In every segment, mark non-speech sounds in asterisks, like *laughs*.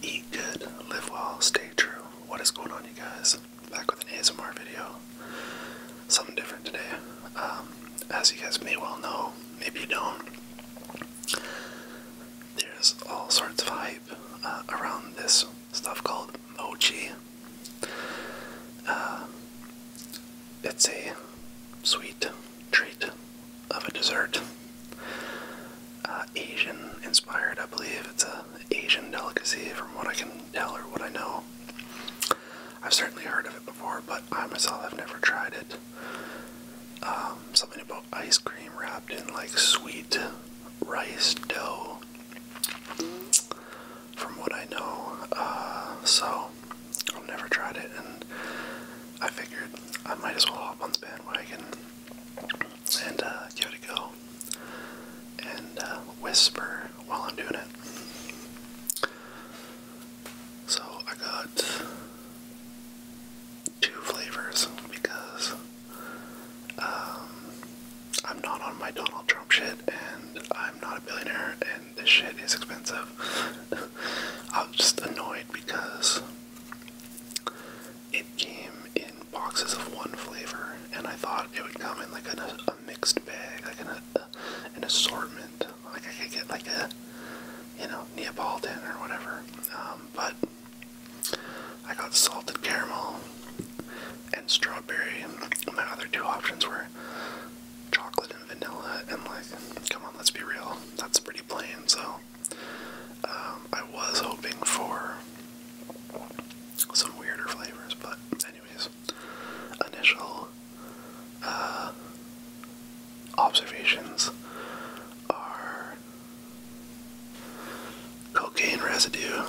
Eat good, live well, stay true. What is going on, you guys? Back with an ASMR video. Something different today. Um, as you guys may well know, maybe you don't, there's all sorts of hype uh, around this stuff called mochi. Uh, it's a sweet treat of a dessert. Uh, Asian inspired, I believe. It's a Asian delicacy from what I can tell or what I know. I've certainly heard of it before, but I myself have never tried it. Um, something about ice cream wrapped in like sweet rice dough, from what I know. Uh, so I've never tried it, and I figured I might as well hop on the bandwagon and uh, give it a go and uh, whisper while I'm doing it. So I got two flavors because um, I'm not on my Donald Trump shit and I'm not a billionaire and this shit is expensive. *laughs* I am just annoyed because it came in boxes of one flavor, and I thought it would come in like an, a mixed bag, like an, an assortment. Like I could get like a, you know, Neapolitan or whatever. Um, but I got salted caramel and strawberry. and My other two options were chocolate and vanilla, and like, come on, let's be real, that's pretty plain. So um, I was hoping for some weirder flavors, but anyways, initial uh, observations are cocaine residue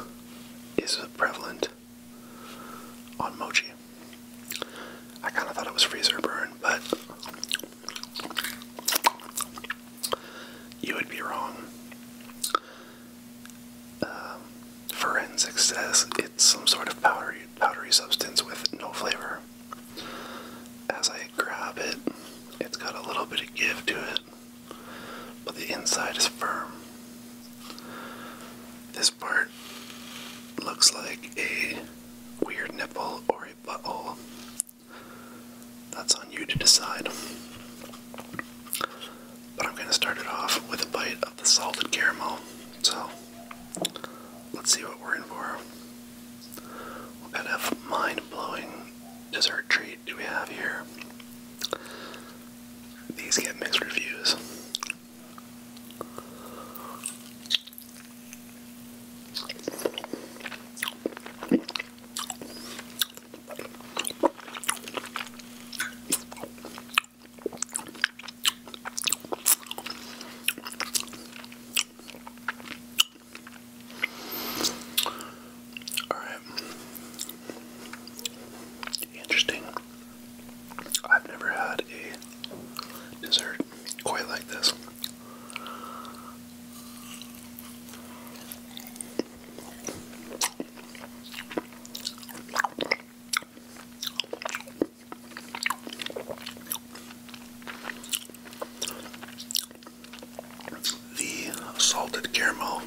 is prevalent on mochi. I kind of thought it was freezer burn, but you would be wrong. Um, Forensics says it's some sort of powdery, powdery substance with no flavor. As I grab it, it's got a little bit of give to it, but the inside is firm. This part looks like a weird nipple or a butthole that's on you to decide. But I'm going to start it off with a bite of the salted caramel. So let's see what we're in for. What kind of mind blowing dessert treat do we have here? These get mixed reviews. All right. Interesting. I've never had a dessert quite like this. The salted caramel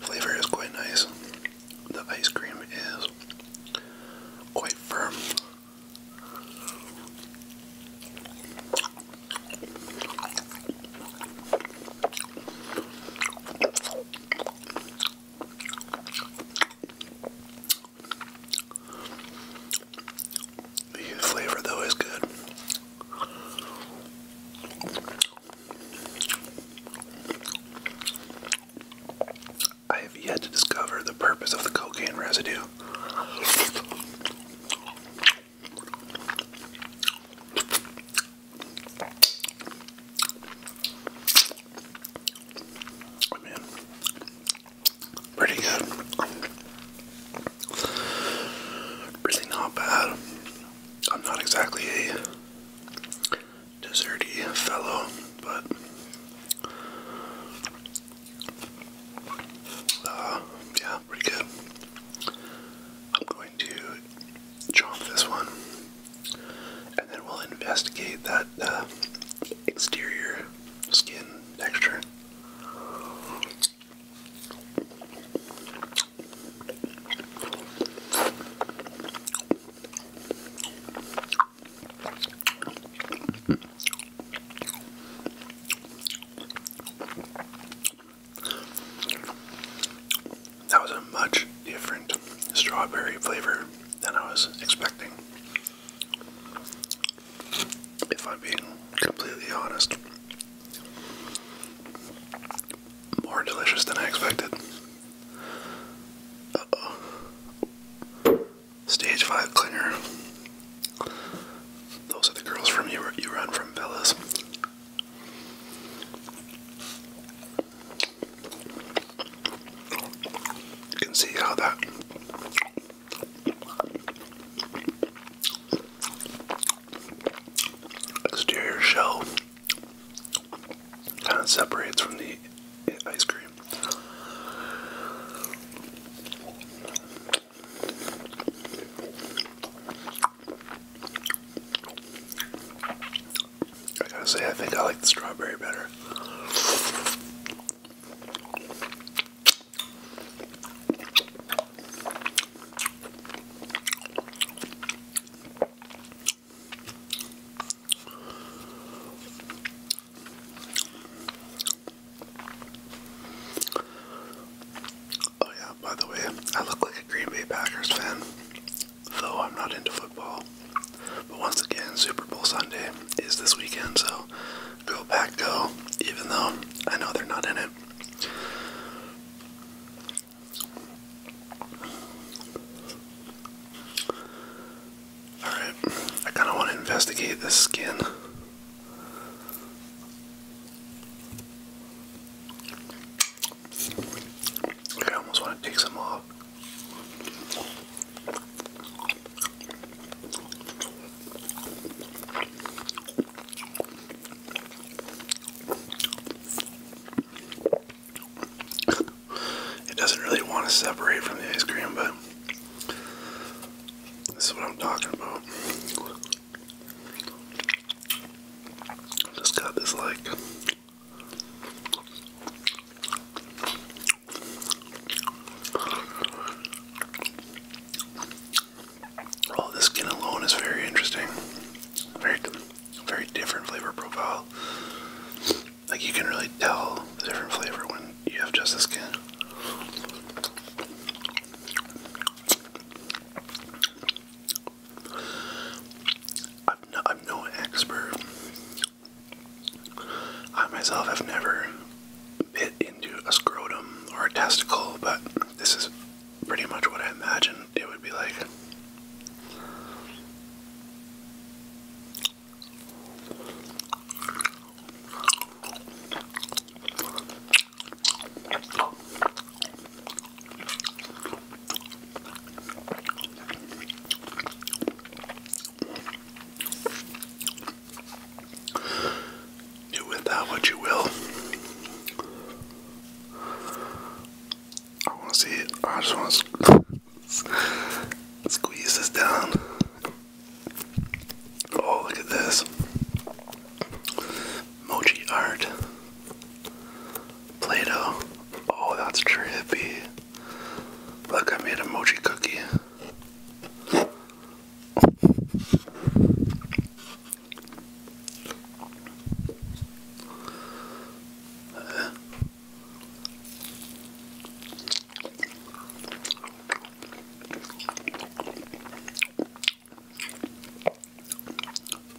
flavor is quite nice. The ice cream is quite firm. The flavor, though, is good. I have yet to discover the purpose of the cocaine residue. I pretty good. Really not bad. I'm not exactly a desserty fellow, but uh, yeah, pretty good. I'm going to chomp this one, and then we'll investigate that uh, exterior skin texture. That was a much different strawberry flavor than I was expecting. If I'm being completely honest, more delicious than I expected. Stage 5 cleaner. Those are the girls from you. You run from Villas. You can see how that exterior shell kind of separates from the ice cream. I gotta say, I think I like the strawberry better. Oh yeah, by the way, I look like a Green Bay Packers fan, though I'm not into football. But once again, Super Bowl Sunday is this weekend, so go Pack go, even though I know they're not in it. Alright, I kind of want to investigate this skin. I almost want to take some off. it doesn't really want to separate from the ice cream, but this is what I'm talking about. Just got this like Oh, this skin alone is very interesting. Very very different flavor profile. Like you can really tell the different flavor when you have just the skin. I'm, no, expert. I myself have never bit into a scrotum or a testicle, but this is pretty much what I imagine it would be like. Do with what you will. I want to see it. I just want to squeeze this down. Oh, look at this. Moji art. Play-Doh. Oh, that's trippy. Look, I made a moji cookie.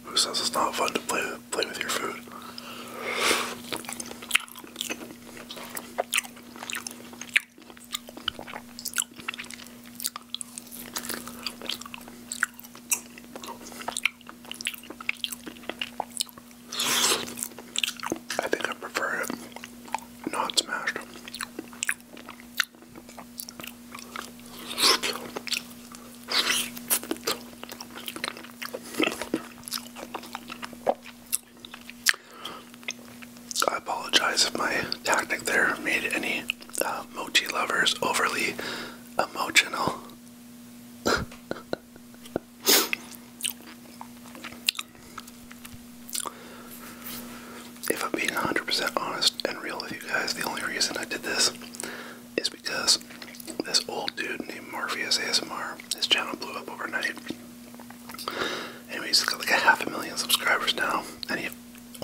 Who says it's not fun to play play with your food? I think I prefer it not smashed. I apologize if my tactic there made any uh, mochi lovers overly emotional. *laughs* If I'm being 100% honest and real with you guys, the only reason I did this is because this old dude named Morpheus ASMR, his channel blew up overnight. Anyway, he's got like a half a million subscribers now, and he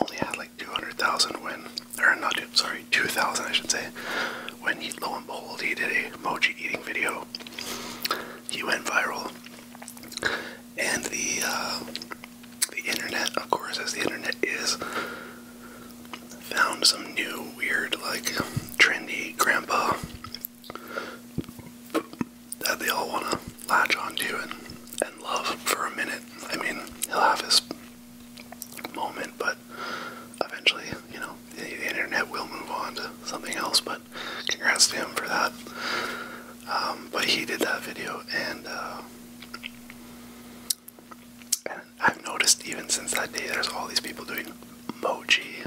only had like 200,000 when, or not, sorry, 2,000 I should say, when he, lo and behold, he did a mochi eating video. He went viral, and the uh, the internet, of course, as the internet is, found some new, weird, like, trendy grandpa that they all want to latch onto and, and love for a minute. I mean, he'll have his moment, but eventually, you know, the internet will move on to something else. But congrats to him for that. Um, but he did that video, uh, and, I've noticed even since that day, there's all these people doing mochi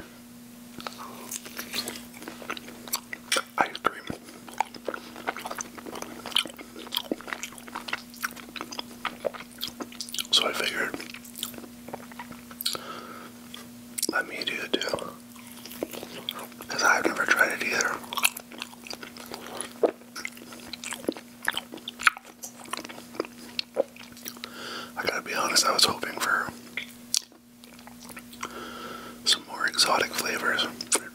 ice cream. So I figured, let me do it too. Because I've never tried it either. I gotta be honest, I was hoping for some more exotic flavors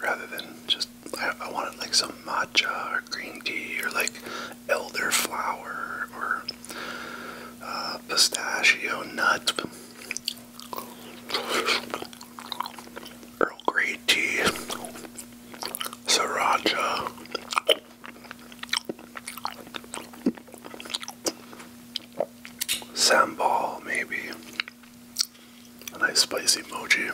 rather than just. I, wanted like some matcha or green tea or like elderflower or uh, pistachio nut. Earl Grey tea, sriracha. Sambal, maybe. A nice spicy mochi.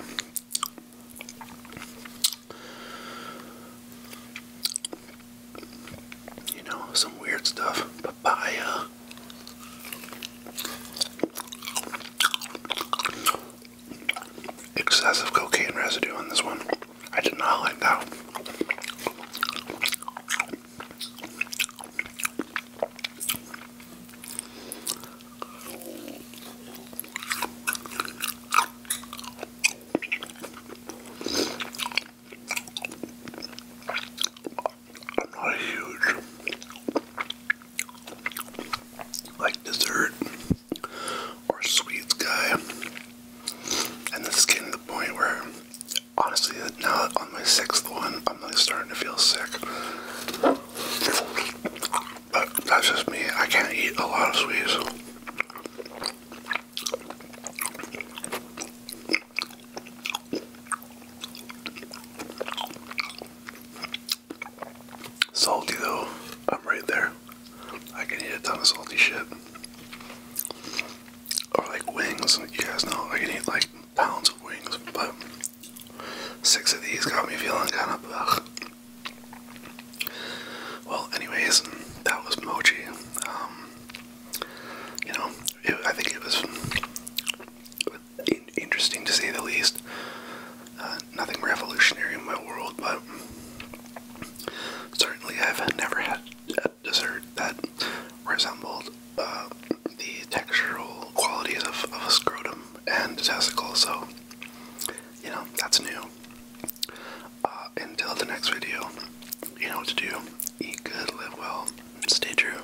You know, some weird stuff. Papaya. Excessive cocaine residue on this one. I did not like that. I'm not huge like dessert or sweets guy. And this is getting to the point where honestly now on my sixth one I'm like starting to feel sick. But that's just me. I can't eat a lot of sweets. Salty though, I'm right there. I can eat a ton of salty shit. Or like wings, you guys know I can eat like pounds of wings, but six of these got me feeling kind of Well, anyways, that was mochi. Um, you know, I think it was interesting to say the least. Uh, nothing revolutionary in my world, but certainly I've never had a dessert that resembled uh, the textural qualities of, a scrotum and a testicle, so you know, that's new. Uh, until the next video, you know what to do. Eat good, live well, stay true.